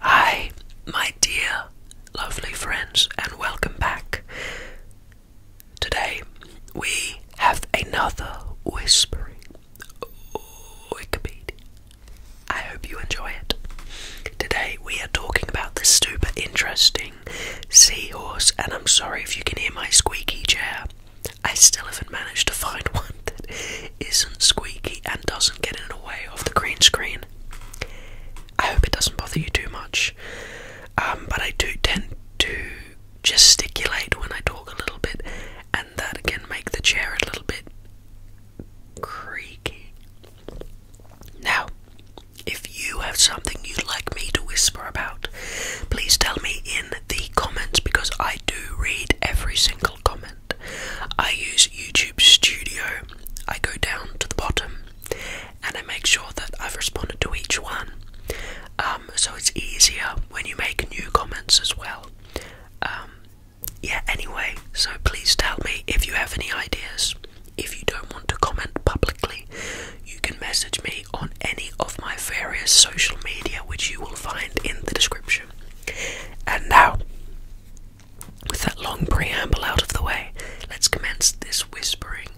Hi, my dear, lovely friends, and welcome back. Today we have another whispering Wikipedia. I hope you enjoy it. Today we are talking about this super interesting seahorse, and I'm sorry if you can hear my squeaky chair. I still haven't managed to find one that isn't squeaky and doesn't get in the way of the green screen. I hope it doesn't bother you too much, um, but I do tend to gesticulate when I talk a little bit, and that can make the chair a little bit creaky. Now, if you have something you'd like me to whisper about, please tell me in the comments because I do read every single comment. I use YouTube Studio. I go down to the bottom and I make sure that I've responded to each one. Um, so it's easier when you make new comments as well. Um, yeah, anyway, so please tell me if you have any ideas. If you don't want to comment publicly, you can message me on any of my various social media, which you will find in the description. And now, with that long preamble out of the way, let's commence this whispering.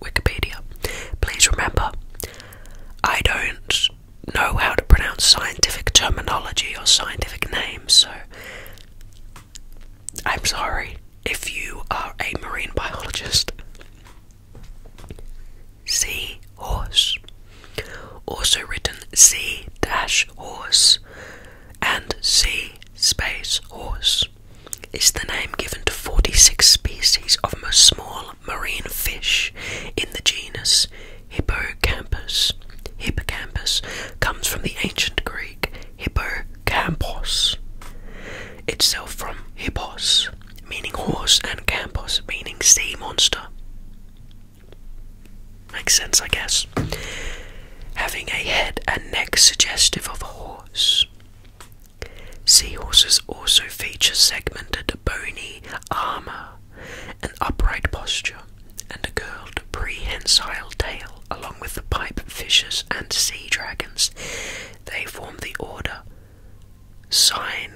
Wikipedia. Please remember, I don't know how to pronounce scientific terminology or scientific names, so I'm sorry if you are a marine biologist. Sea horse also written C horse and C horse is the name given to 46 species of small marine fish in the genus Hippocampus. Hippocampus comes from the ancient Greek hippocampos, itself from hippos, meaning horse, and campus, meaning sea monster. Makes sense, I guess. Having a head and neck suggestive of a horse. Seahorses also feature segmented bony armour, an upright posture, and a curled prehensile tail, along with the pipefishes and sea dragons. They form the order Cynathinidae.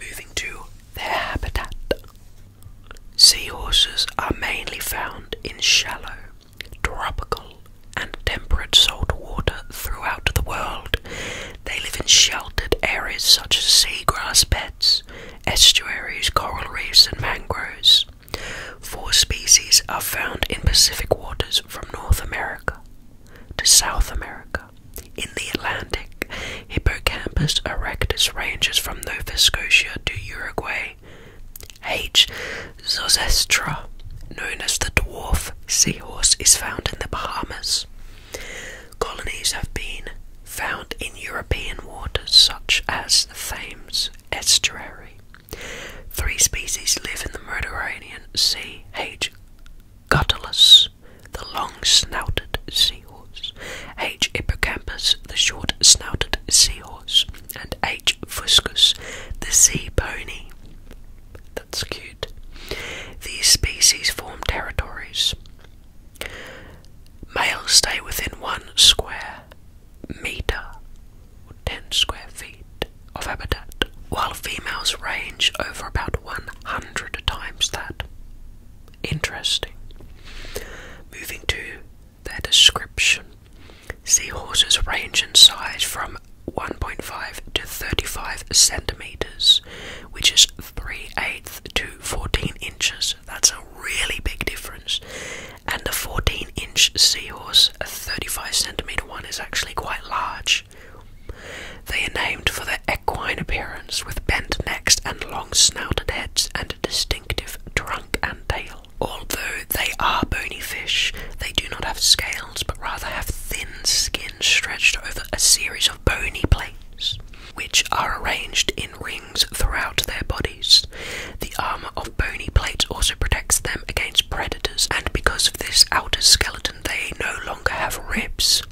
Moving to their habitat. Seahorses are mainly found in shallow, tropical, and temperate salt water throughout the world. They live in sheltered areas such as seagrass beds, estuaries, coral reefs, and mangroves. Four species are found in Pacific waters from North America to South America. In the Atlantic, Hippocampus erectus ranges from Nova Scotia to Uruguay. H. zosestra, known as the dwarf seahorse, is found in the Bahamas. Colonies have been found in European waters such as the Thames estuary. Three species live in the Mediterranean Sea. Gutulus, the long-snouted seahorse, H. hippocampus, the short-snouted seahorse, and H. fuscus, the sea pony. That's cute. These species form territories. Males stay within one square meter or ten square feet of habitat, while females range over about 100 times that. Interesting. Moving to their description. Seahorses range in size from 1.5 to 35 centimeters, which is 3 eighths to 14 inches. That's a really big difference. And the 14 inch seahorse, a 35 centimeter one, is actually quite large. They are named for their equine appearance with bent necks and long snouted heads and a distinctive trunk and tail. Although they are bony fish, they do not have scales but rather have thin skin stretched over a series of bony plates, which are arranged in rings throughout their bodies. The armour of bony plates also protects them against predators, and because of this, outer skeleton they no longer have ribs.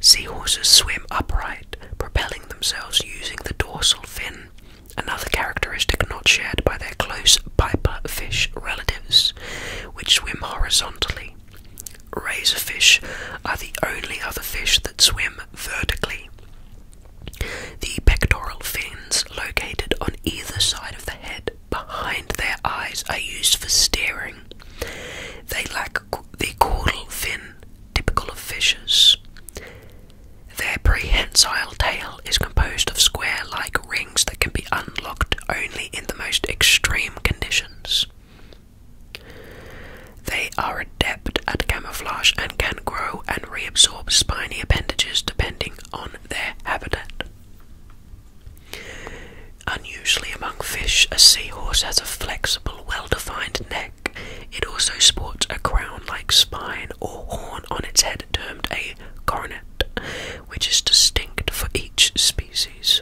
Seahorses swim upright, propelling themselves using the dorsal fin, another characteristic not shared by their close piper fish relatives, which swim horizontally. Razorfish are the only other fish that swim vertically. The pectoral fins, located on either side of the head, behind their eyes are used for steering. They lack the caudal fin, typical of fishes. Their prehensile tail is composed of square like rings that can be unlocked only in the most extreme conditions. They are adept at camouflage and can grow and reabsorb spiny appendages depending on their habitat. Unusually among fish, a seahorse has a flexible, well defined neck. It also sports a crown like spine or horn on its head, termed a coronet, which is distinct for each species.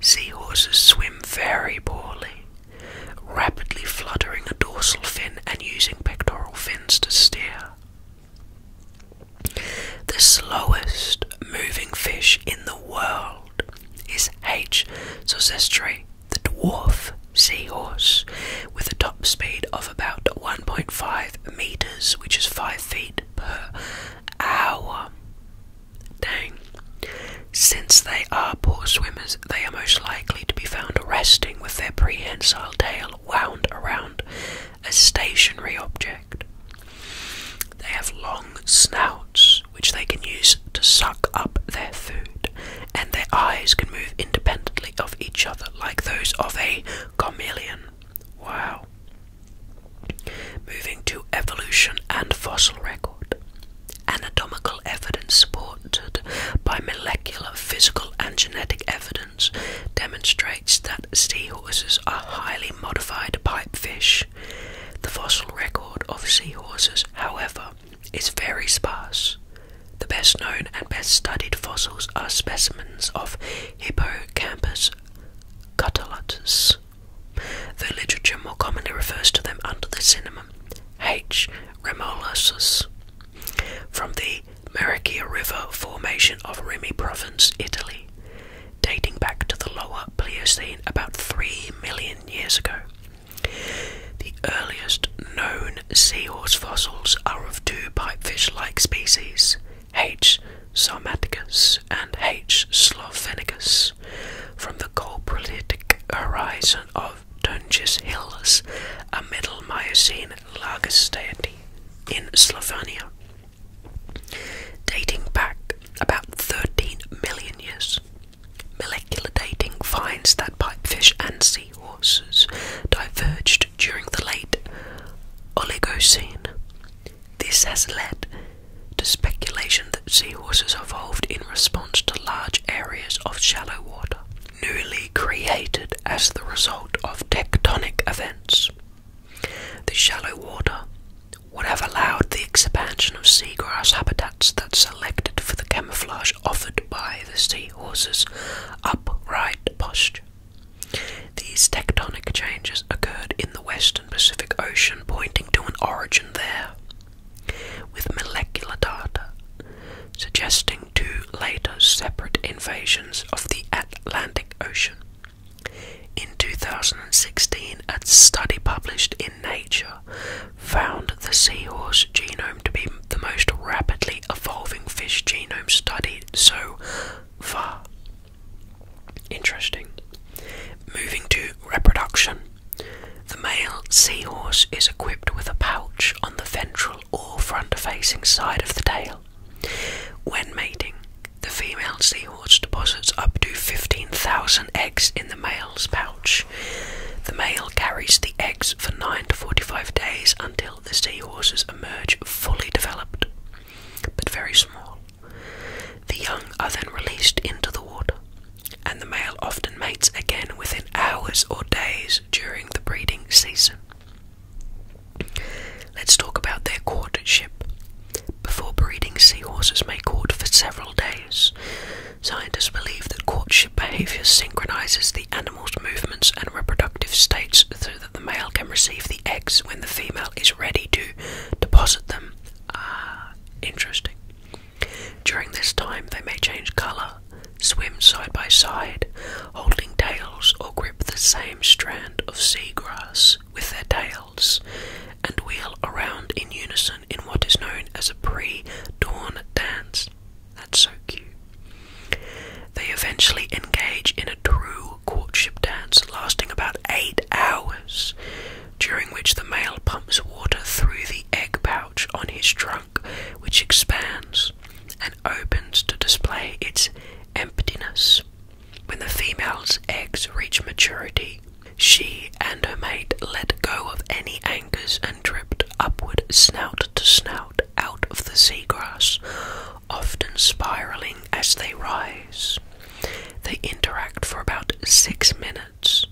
Seahorses swim very poorly, rapidly fluttering a dorsal fin and using pectoral fins to steer. The slowest moving fish in the world is H. sosestri, the dwarf seahorse, with a top speed of about 1.5 meters, which is 5 feet per hour. Dang. Since they are poor swimmers, they are most likely to be found resting with their prehensile tail wound around a stationary object. They have long snouts which they can use to suck up their food, and their eyes can move independently of each other, like those of a chameleon. Wow. Moving to evolution and fossil record. Anatomical evidence supported by molecular, physical, and genetic evidence demonstrates that seahorses are highly modified pipefish. The fossil record of seahorses, however, is very sparse. The best known and best studied fossils are specimens of Hippocampus cutullatus. The literature more commonly refers to them under the synonym H. remolosus. From the Mericia River formation of Rimi Province, Italy, dating back to the Lower Pliocene about 3 million years ago. The earliest known seahorse fossils are of two pipefish-like species, H. sarmaticus and H. slovenicus, from the Coprolitic horizon of Dungeness Hills, a Middle Miocene lagosteity in Slovenia. Dating back about 13 million years, molecular dating finds that pipefish and seahorses diverged during the late Oligocene. This has led to speculation that seahorses evolved in response to large areas of shallow water, newly created as the result of tectonic events. The shallow water would have allowed the expansion of seagrass habitats that selected for the camouflage offered by the seahorse's upright posture. These tectonic changes occurred in the western Pacific Ocean, pointing to an origin there, with molecular data suggesting two later separate invasions of the Atlantic Ocean. In 2016, a study published in Nature found the seahorse genome to be the most rapidly evolving fish genome studied so far. Interesting. Moving to reproduction. The male seahorse is equipped with a pouch on the ventral or front facing side of the tail when mating, the female seahorse deposits up to 15,000 eggs in the male's pouch. The male carries the eggs for 9 to 45 days until the seahorses emerge fully developed, but very small. The young are then released into the water, and the male often mates again within hours or days during the breeding season. Let's talk about their courtship. Before breeding, seahorses may court for several days. Scientists believe that courtship behavior synchronizes the animal's movements and reproductive states so that the male can receive the eggs when the female is ready to deposit them. Ah, interesting. During this time, they may change color, swim side by side, holding tails, or grip the same strand band of seagrass with their tails and wheel around in unison in what is known as a pre dawn dance. That's so cute. They eventually engage in a true courtship dance lasting about eight hours, during which the male pumps water through the egg pouch on his trunk, which expands and opens to display its emptiness. When the female's eggs reach maturity, she and her mate let go of any anchors and drift upward snout to snout out of the seagrass, often spiraling as they rise. They interact for about six minutes,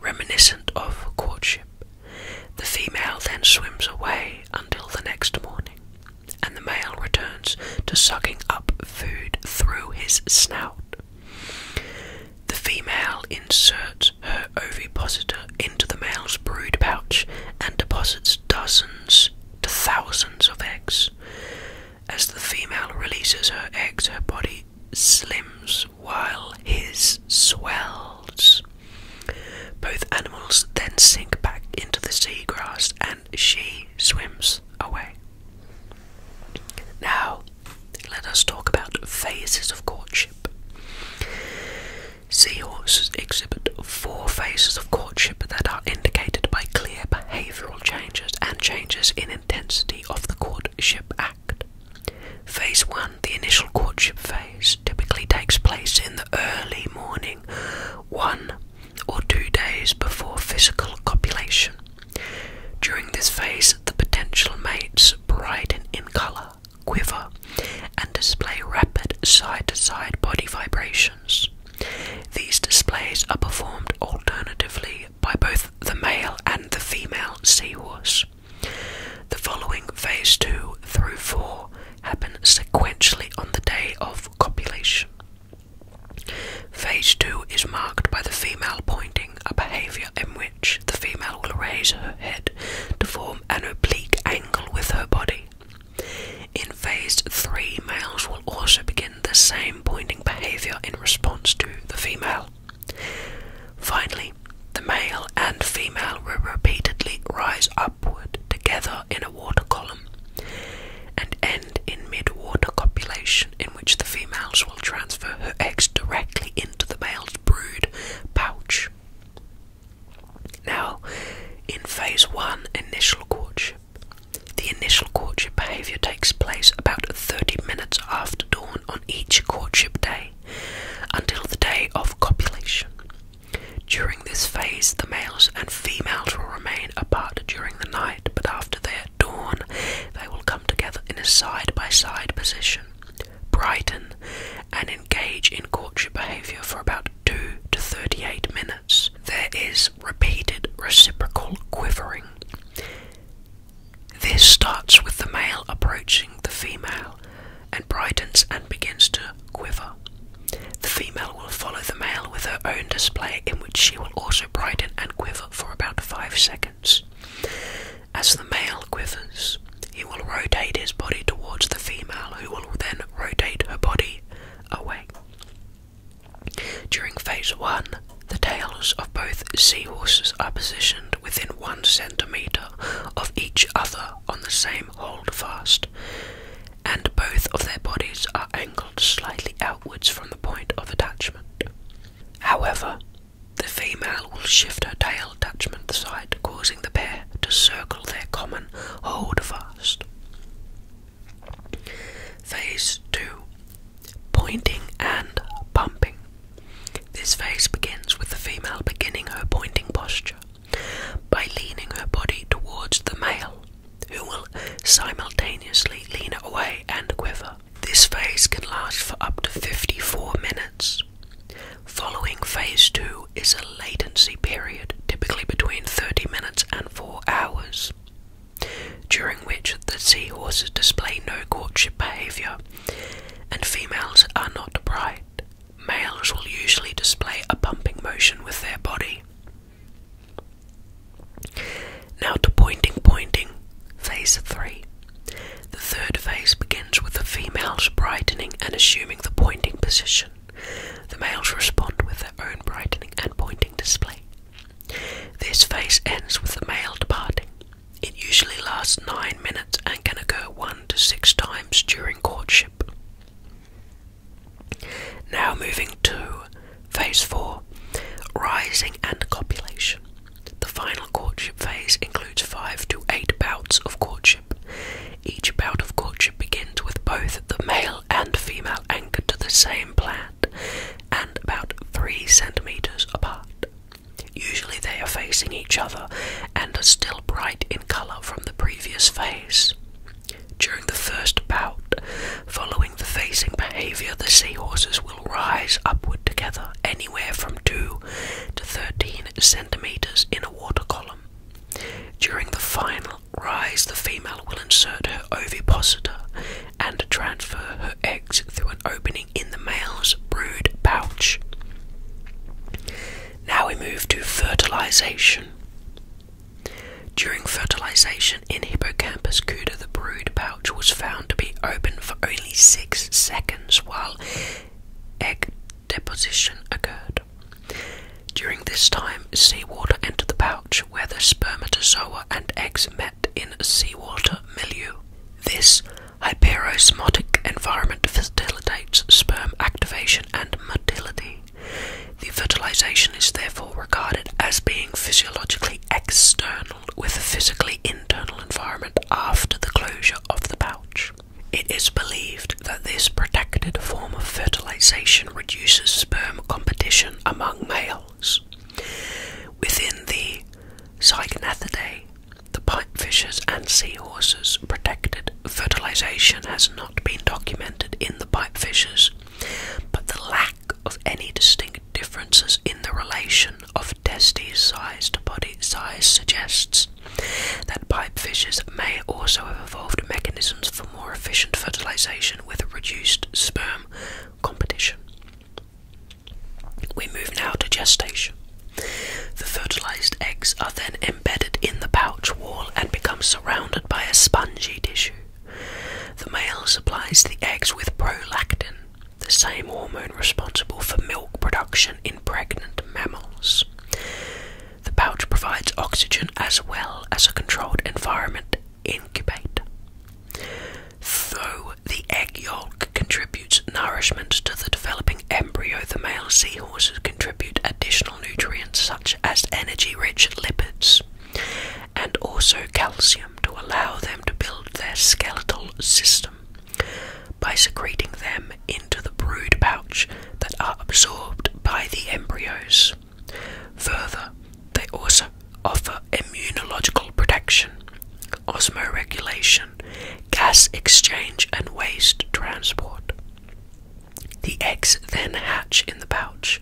reminiscent of courtship. The female then swims away until the next morning and the male returns to sucking up food through his snout. The female inserts her ovipositor into the male's brood pouch and deposits dozens to thousands of eggs. As the female releases her eggs, her body slims while his swells. Both animals then sink back into the seagrass and she swims away. Now, let us talk about phases of courtship. Seahorses exhibit four phases of courtship that are indicated by clear behavioral changes and changes in intensity of the courtship act. Phase 1, the initial courtship phase, typically takes place in the early morning. 1 or two days before physical copulation. During this phase, the potential mates brighten in colour, quiver, and display rapid side to side body vibrations. These displays are performed alternatively by both the male and the female seahorse. The following phase 2 through 4 happen sequentially on the day of copulation. Phase 2 is marked by the female pointing, a behaviour in which the female will raise her head to form an oblique angle with her body. In phase 3, males will also begin the same pointing behaviour in response to the female. Finally, the male and female will repeatedly rise upward together in a water column and end in mid-water copulation, in which the females will transfer her eggs directly into the male's brood pouch. Now, in phase one, initial courtship. The initial courtship behavior takes place about 30 minutes after dawn on each courtship day until the day of copulation. During this phase, the males and females will remain apart during the night, but after they at dawn, they will come together in a side by side position, brighten, and engage in courtship behavior for about 2 to 38 minutes. There is repeated reciprocal quivering. This starts with the male approaching the female and brightens and begins to quiver. The female will follow the male with her own display, in which she will also brighten and quiver for about five seconds. As the male quivers, he will rotate his body towards the female, who will then rotate her body away. During phase one, the tails of both seahorses are positioned within one centimetre of each other on the same holdfast and both of their bodies are angled slightly outwards from the point of attachment. However, the female will shift her tail attachment side, causing the pair to circle their common hold fast. Phase 2 Pointing and pumping. This phase begins with the female beginning her pointing posture by leaning her body towards the male, who will simultaneously lean away and quiver. This phase can last for up to 54 minutes. Following phase 2 is a latency period, typically between 30 minutes and 4 hours, during which the seahorses display no courtship behavior and females are not bright. Males will usually display a pumping motion with their body. Now to pointing, pointing, phase 3. The third phase begins with the females brightening and assuming the pointing position. The males respond with their own brightening and pointing display. This phase ends with the male departing. It usually lasts 9 minutes and can occur 1 to 6 times during courtship. Now moving to phase four rising and copulation. The final courtship phase includes five to eight bouts of courtship. Each bout of courtship begins with both the male and female anchored to the same plant and about three centimeters apart. Usually they are facing each other and are still bright in color from the previous phase. During the first bout, following the facing behavior, the seahorses will rise upward together anywhere from 2 to 13 centimeters in a water column. During the final rise, the female will insert her ovipositor and transfer her eggs through an opening in the male's brood pouch. Now we move to fertilization. During fertilization in Hippocampus cuda, the brood pouch was found to be open for only six seconds while egg deposition occurred. During this time, seawater entered the pouch where the spermatozoa and eggs met in seawater milieu. This hyperosmotic environment facilitates sperm activation and motility. The fertilization is therefore regarded as being physiologically external with a physically internal environment after the closure of the pouch. It is believed that this protected form of fertilization reduces sperm competition among males. Within the Cygnathidae, the pipefishers and seahorses protected fertilization has not been documented in the pipefishes, but the lack of any distinct differences in the relation of testes size to body size suggests that pipefishes may also have evolved mechanisms for more efficient fertilization with reduced sperm competition. We move now to gestation. The fertilized eggs are then embedded in the pouch wall and becomes surrounded by a spongy tissue. The male supplies the eggs with prolactin, the same hormone responsible for milk production in pregnant mammals. The pouch provides oxygen as well as a controlled environment to incubate. Though the egg yolk contributes nourishment to the developing embryo, the male seal horses contribute additional nutrients such as energy rich lipids and also calcium to allow them to build their skeletal system by secreting them into the brood pouch that are absorbed by the embryos. Further, they also offer immunological protection, osmoregulation, gas exchange, and waste transport. The eggs then hatch in the pouch,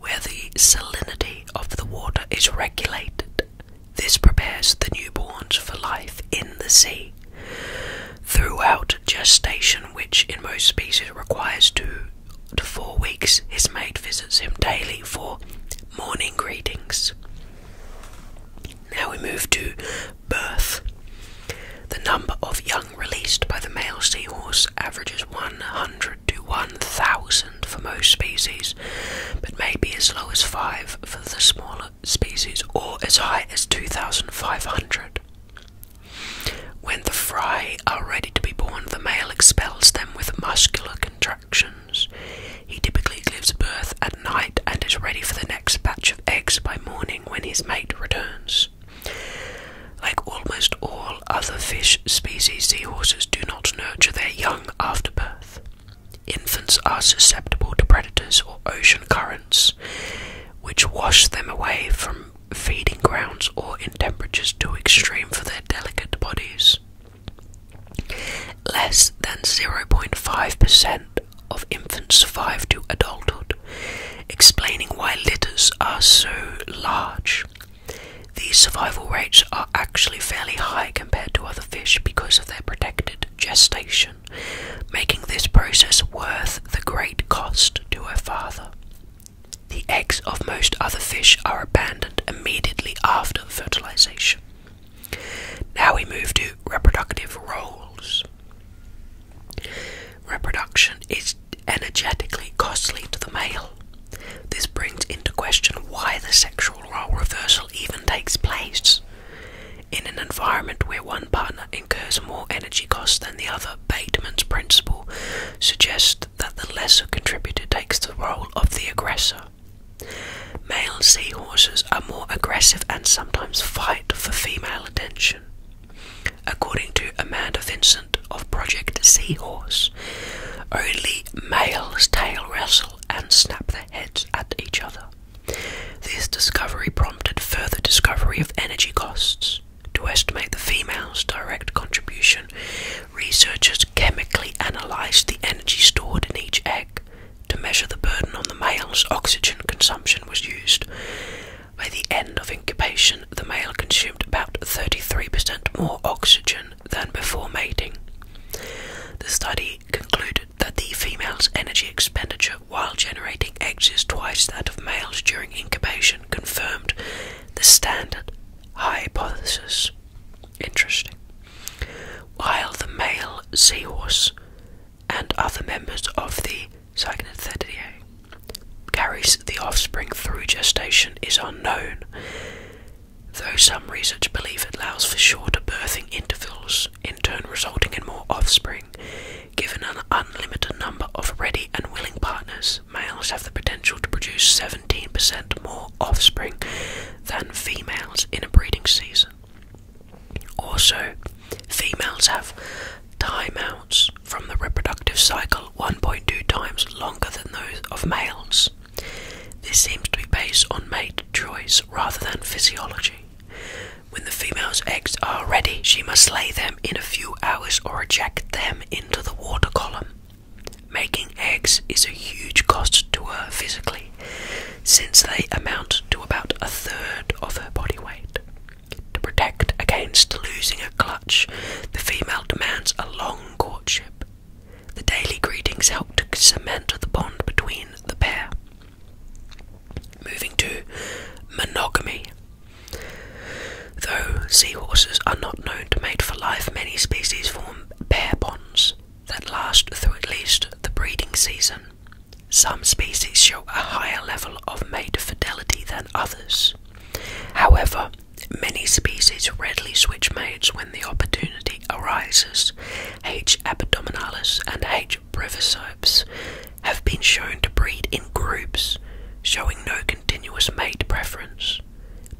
where the salinity of the water is regulated. This prepares the newborns for life in the sea. Throughout gestation, which in most species requires two to four weeks, his mate visits him daily for morning greetings. Now we move to birth. The number of young released by the male seahorse averages 100 to 1,000 for most species, but may be as low as 5 for the smaller species or as high as 2,500. When the fry are ready to be born, the male expels them with muscular contractions. He typically gives birth at night and is ready for the next batch of eggs by morning when his mate returns. Like almost all other fish species, seahorses do not nurture their young after birth. Infants are susceptible to predators or ocean currents, which wash them away from feeding grounds or in temperatures too extreme for their delicate bodies. Less than 0.5% of infants survive to adulthood, explaining why litters are so large. These survival rates are actually fairly high compared to other fish because of their protected gestation, making this process worth the great cost to a father. The eggs of most other fish are abandoned immediately after fertilization. Now we move to reproductive roles. Reproduction is energetically costly to the male. This brings into question why the sexual role reversal even takes place. In an environment where one partner incurs more energy costs than the other, Bateman's principle suggests that the lesser contributor takes the role of the aggressor. Male seahorses are more aggressive and sometimes fight for female attention. According to Amanda Vincent of Project Seahorse, only males tail wrestle and snap their heads at each other. This discovery prompted further discovery of energy costs. To estimate the female's direct contribution, researchers chemically analysed the energy stored in each egg. To measure the burden on the male's, oxygen consumption was used. By the end of incubation, the male consumed about 33% more oxygen than before mating. The study concluded that the female's energy expenditure while generating eggs is twice that of males during incubation, confirmed the standard hypothesis. Interesting. While the male seahorse and other members of the Second and 38. Carries the offspring through gestation is unknown, though some research believe it allows for shorter birthing intervals, in turn resulting in more offspring. Given an unlimited number of ready and willing partners, males have the potential to produce 17% more offspring than females in a breeding season. Also, females have timeouts from the reproductive cycle 1.2 times longer than those of males. This seems to be based on mate choice rather than physiology. When the female's eggs are ready, she must lay them in a few hours or eject them into the water column. Making eggs is a huge cost to her physically, since they amount to about a third of her body weight. To protect against losing a clutch, the female demands a long courtship. The daily greetings help to cement the bond between the pair. Moving to monogamy. Though sea horses are not known to mate for life, many species form pair bonds that last through at least the breeding season. Some species show a higher level of mate fidelity than others. However, many species readily switch mates when the opportunity arises. H. abdominalis and H. brevisipes have been shown to breed in groups, showing no continuous mate preference.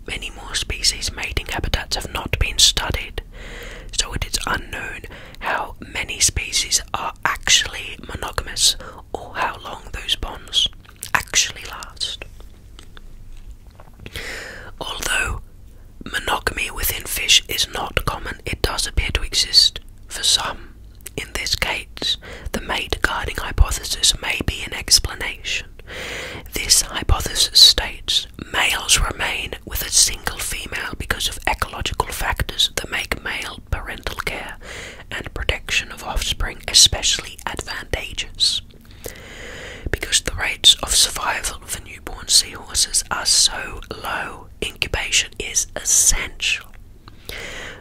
Many more species' mating habitats have not been studied, so it is unknown how many species are actually monogamous or how long those bonds actually last. Although monogamy within fish is not common, it does appear to exist for some. In this case, the mate guarding hypothesis may be an explanation. This hypothesis states males remain with a single female because of ecological factors that make male parental care and protection of offspring especially advantageous, because the rates of survival for newborn seahorses are so low. Incubation is essential.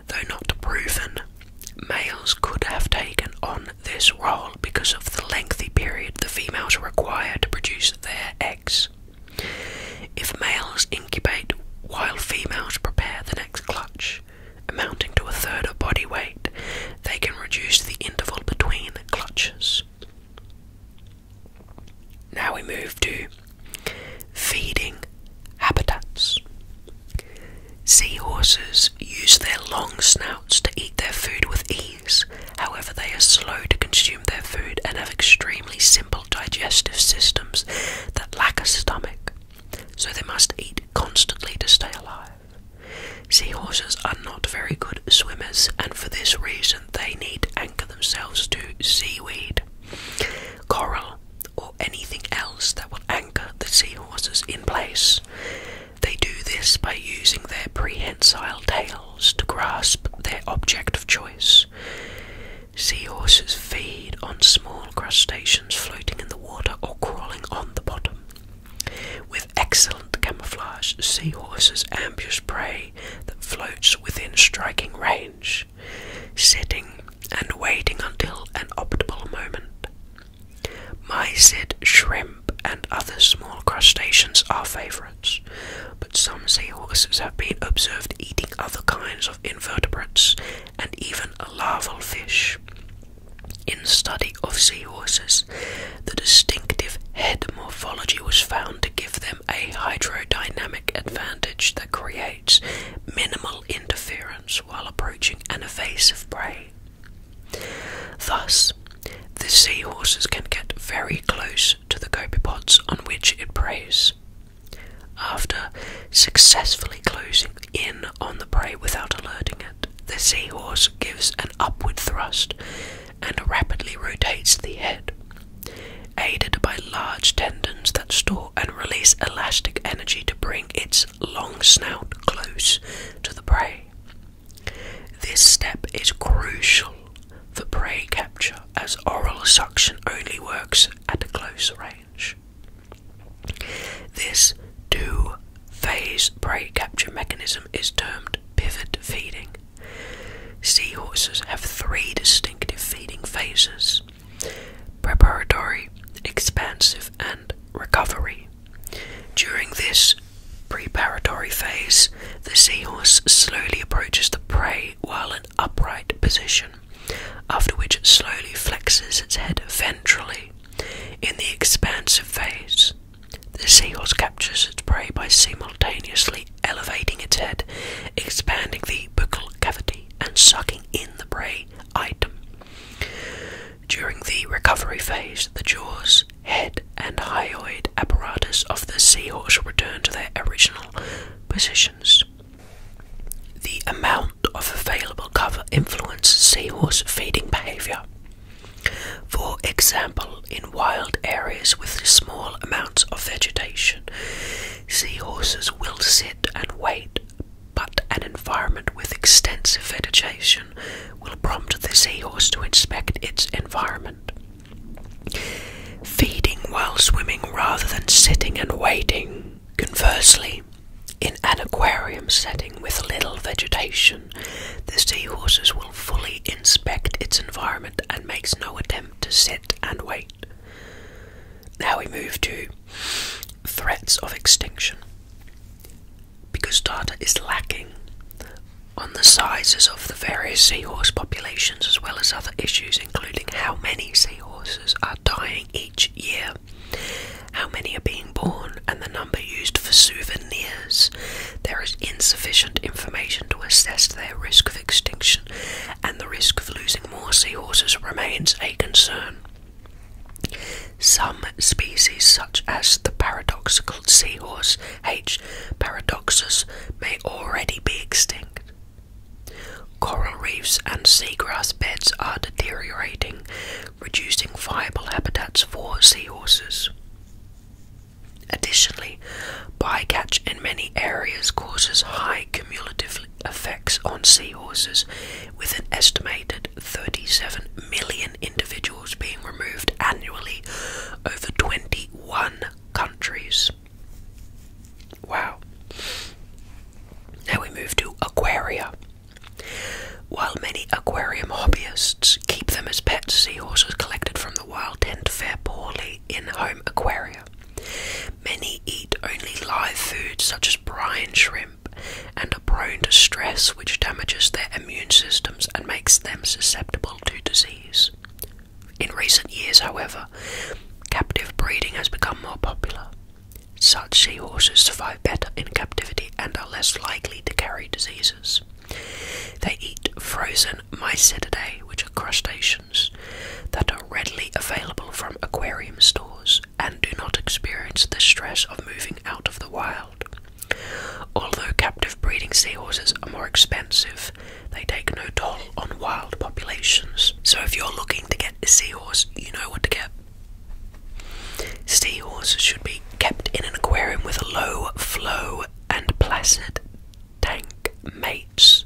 Though not proven, males could have taken on this role because of the lengthy period the females require to produce their eggs. If males incubate while females prepare the next clutch, amounting to a third of body weight, they can reduce the interval between clutches. Now we move to feeding habitats. Seahorses use their long snouts to eat their food with ease, however, they are slow to consume their food and have extremely simple digestive systems that lack a stomach so they must eat constantly to stay alive. Seahorses are not very good swimmers, and for this reason, they need anchor themselves to seaweed, coral, or anything else that will anchor the seahorses in place. They do this by using their prehensile tails to grasp their object of choice. Seahorses feed on small crustaceans floating in the water or crawling on the bottom. With excellent camouflage, seahorses ambush prey that floats within striking range, sitting and waiting until an optimal moment. Mysid, shrimp, and other small crustaceans are favourites, but some seahorses have been observed eating other kinds of invertebrates and even a larval fish. In study of seahorses, the distinctive head morphology was found to give them a hydrodynamic advantage that creates minimal interference while approaching an evasive prey. Thus, the seahorses can get very close to the copepods on which it preys. After successfully closing in on the prey without alerting it, the seahorse gives an upward thrust and rapidly rotates the head. Aided by large tendons that store and release elastic energy to bring its long snout close to the prey. This step is crucial for prey capture as oral suction only works at close range. This two phase prey capture mechanism is termed pivot feeding. Seahorses have three distinctive feeding phases preparatory, expansive, and recovery. During this preparatory phase, the seahorse slowly approaches the prey while in upright position after which it slowly flexes its head ventrally. In the expansive phase, the seahorse captures its prey by simultaneously elevating its head, expanding the buccal cavity, and sucking in the prey item. During the recovery phase, the jaws, head, and hyoid apparatus of the seahorse return to their original positions the amount of available cover influences seahorse feeding behavior. For example, in wild areas with small amounts of vegetation, seahorses will sit and wait, but an environment with extensive vegetation will prompt the seahorse to inspect its environment. Feeding while swimming rather than sitting and waiting, conversely, in an aquarium setting with little vegetation, the seahorses will fully inspect its environment and makes no attempt to sit and wait. Now we move to threats of extinction. Because data is lacking on the sizes of the various seahorse populations as well as other issues including how many seahorses are dying each year, how many are being born, and the number used for souvenirs. There is insufficient information to assess their risk of extinction, and the risk of losing more seahorses remains a concern. Some species, such as the paradoxical seahorse H. paradoxus, may already be extinct. Coral reefs and seagrass beds are deteriorating, reducing viable habitats for seahorses. Additionally, bycatch in many areas causes high cumulative effects on seahorses, with an estimated 37 million individuals being removed annually over 21 countries. Wow. Now we move to aquaria. While many aquarium hobbyists keep them as pets, seahorses collected from the wild tend to fare poorly in home aquaria. Many eat only live food such as brine shrimp and are prone to stress which damages their immune systems and makes them susceptible to disease. In recent years, however, captive breeding has become more popular. Such seahorses survive better in captivity and are less likely to carry diseases. They eat frozen mycetidae, which are crustaceans, that are readily available from aquarium stores and do not experience the stress of moving out of the wild. Although captive breeding seahorses are more expensive, they take no toll on wild populations. So if you're looking to get a seahorse, you know what to get. Seahorses should be kept in an aquarium with low flow and placid tank mates.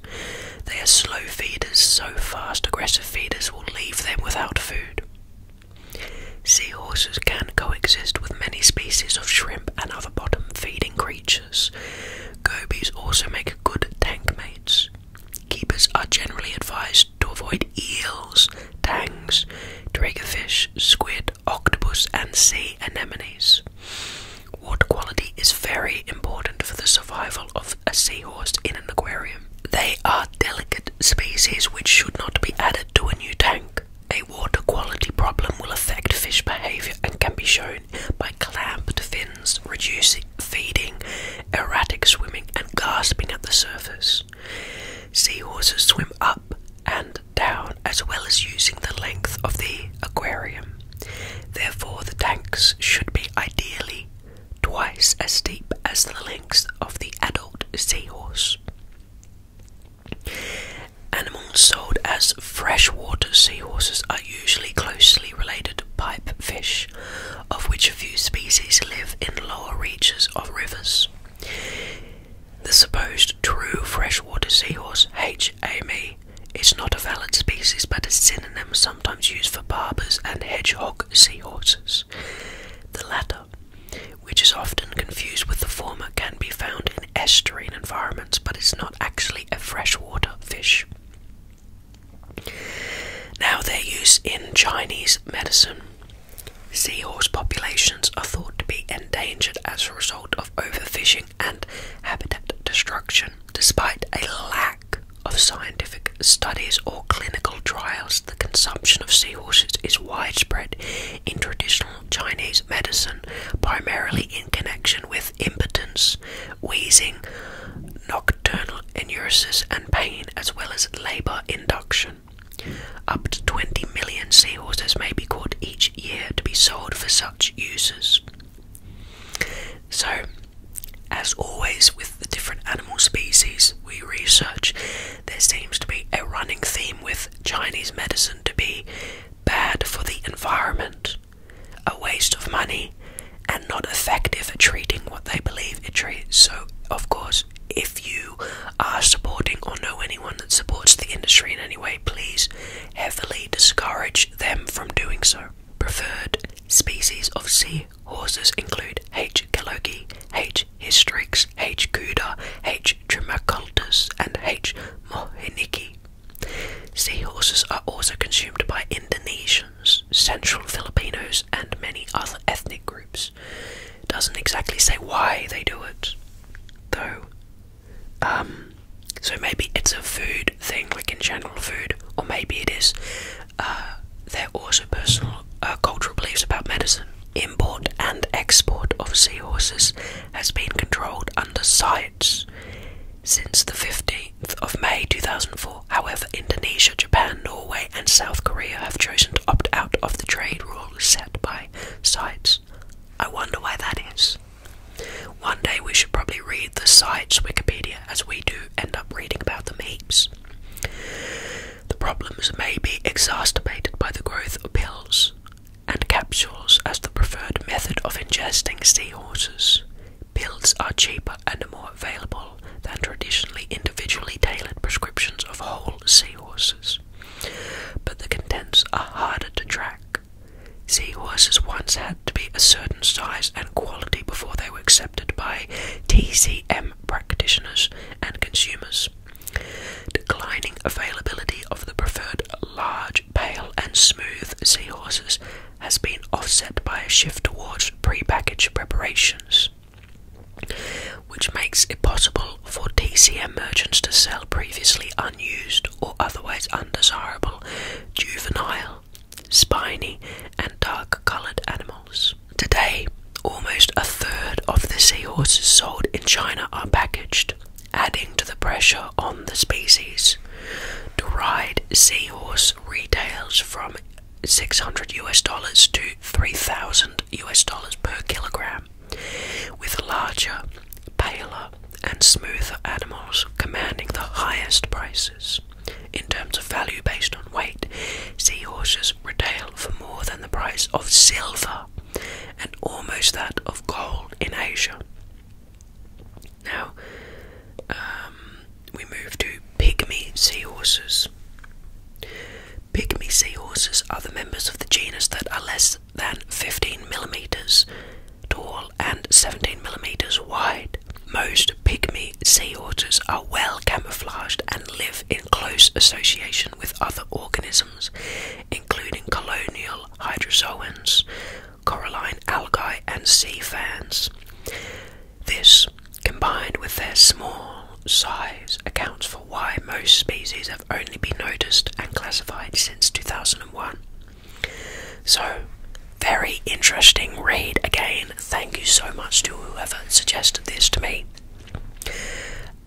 They are slow feeders, so fast aggressive feeders will leave them without food. Seahorses can coexist with many species of shrimp and other bottom feeding creatures. Gobies also make good tank mates. Keepers are generally advised to avoid eels, tangs, triggerfish, squid, octopus, and sea anemones. Water quality is very important for the survival of a seahorse in an aquarium. They are delicate species which should not be added to a new tank. A water quality problem will affect fish behavior and can be shown by clamped fins, reducing feeding, erratic swimming, and gasping at the surface. Seahorses swim up and down as well as using the length of the aquarium. Therefore, the tanks should be ideally twice as deep as the length of the adult seahorse. Animals sold as freshwater seahorses are usually closely related to pipe of which a few species live in lower reaches of rivers. The supposed true freshwater seahorse, H. amei, is not a valid species but a synonym sometimes used for barbers and hedgehog seahorses. The latter, which is often confused with the former, can be found in estuarine environments but is not actually a freshwater fish. Now, their use in Chinese medicine. Seahorse populations are thought to be endangered as a result of overfishing and habitat destruction. Despite a lack of scientific studies or clinical trials, the consumption of seahorses is widespread in traditional Chinese medicine, primarily in connection with impotence, wheezing, abdominal enuresis and pain, as well as labour induction. Up to 20 million seahorses may be caught each year to be sold for such uses. So, as always with the different animal species we research, there seems to be a running theme with Chinese medicine to be bad for the environment, a waste of money, and not effective at treating what they believe it treats. So, of course, if you are supporting or know anyone that supports the industry in any way, please heavily discourage them from doing so. Preferred species of sea horses include H. galogi, H. histrix, H. kuda, H. trimacultus, and H. mohiniki. horses are also consumed by Indonesians Central Filipinos, and many other ethnic groups. It doesn't exactly say why they do it, though. Um, so maybe it's a food thing, like in general food, or maybe it is uh, They're also personal uh, cultural beliefs about medicine. Import and export of seahorses has been controlled under sites since the 50s of May 2004. However, Indonesia, Japan, Norway, and South Korea have chosen to opt out of the trade rules set by sites. I wonder why that is. One day we should probably read the sites Wikipedia as we do end up reading about them heaps. The problems may be exacerbated by the growth of pills and capsules as the preferred method of ingesting seahorses. Pills are cheaper and more available than traditionally individually tailored prescriptions of whole seahorses, but the contents are harder to track. Seahorses once had to be a certain size and quality before they were accepted by TCM practitioners and consumers. Declining availability of the preferred large, pale, and smooth seahorses has been offset by a shift towards pre-packaged preparations, which makes it possible for TCM merchants to sell previously unused or otherwise undesirable juvenile, spiny, and dark coloured animals. Today, almost a third of the seahorses sold in China are packaged, adding to the pressure on the species. Deride Seahorse retails from 600 US dollars to 3,000 US dollars per kilogram, with larger, paler, and smoother animals commanding the highest prices. In terms of value based on weight, seahorses retail for more than the price of silver and almost that of gold in Asia. Now, um, we move to pygmy seahorses. Pygmy seahorses are the members of the genus that are less than 15 millimeters tall and 17 millimeters wide. Most pygmy seahorses are well camouflaged and live in close association with other organisms, including colonial hydrozoans, coralline algae, and sea fans. This, combined with their small size, accounts for why most species have only been noticed and classified since 2001. So, very interesting read again. Thank you so much to whoever suggested this to me.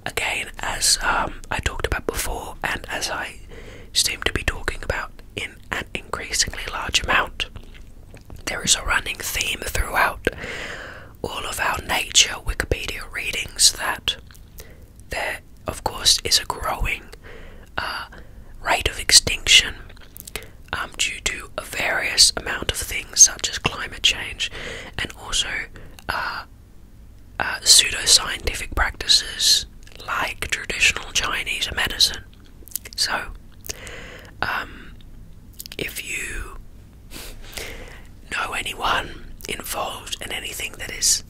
Again, as um, I talked about before, and as I seem to be talking about in an increasingly large amount, there is a running theme throughout all of our nature Wikipedia readings that there, of course, is a growing uh, rate of extinction um, due to a various amount of things such as climate change and also uh, uh, pseudoscientific practices like traditional Chinese medicine. So, um, if you know anyone involved in anything that is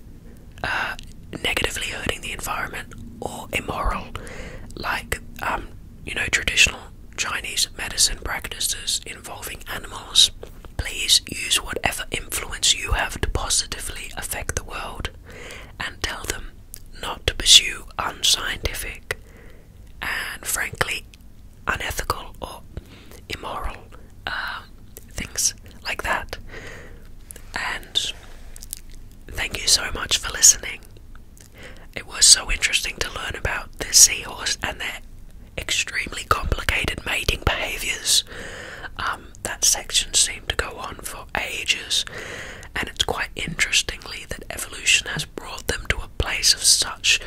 uh, negatively hurting the environment or immoral, like um, you know traditional Chinese medicine practices involving animals, please use whatever influence you have to positively affect the world, and tell them not to pursue unscientific and frankly unethical or immoral um, things like that. And thank you so much for listening. It was so interesting to learn about the seahorse and their extremely complicated mating behaviors. Um, that section seemed to go on for ages, and it's quite interestingly that evolution has brought them to a place of such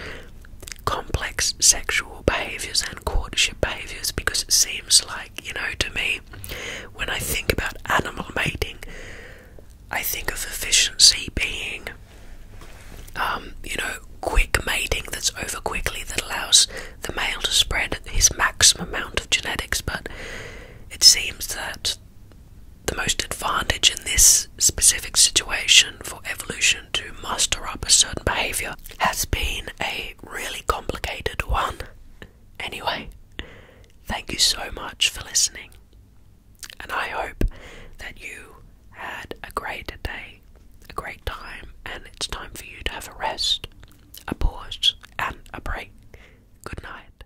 complex sexual behaviors and courtship behaviors because it seems like, you know, to me, when I think about animal mating, I think of efficiency being, um, you know, quick mating that's over quickly that allows the male to spread his maximum amount of genetics, but it seems that the most advantage in this specific situation for evolution to muster up a certain behavior has been a really complicated one. Anyway, thank you so much for listening, and I hope that you had a great day, a great time, and it's time for you to have a rest, a pause, and a break. Good night.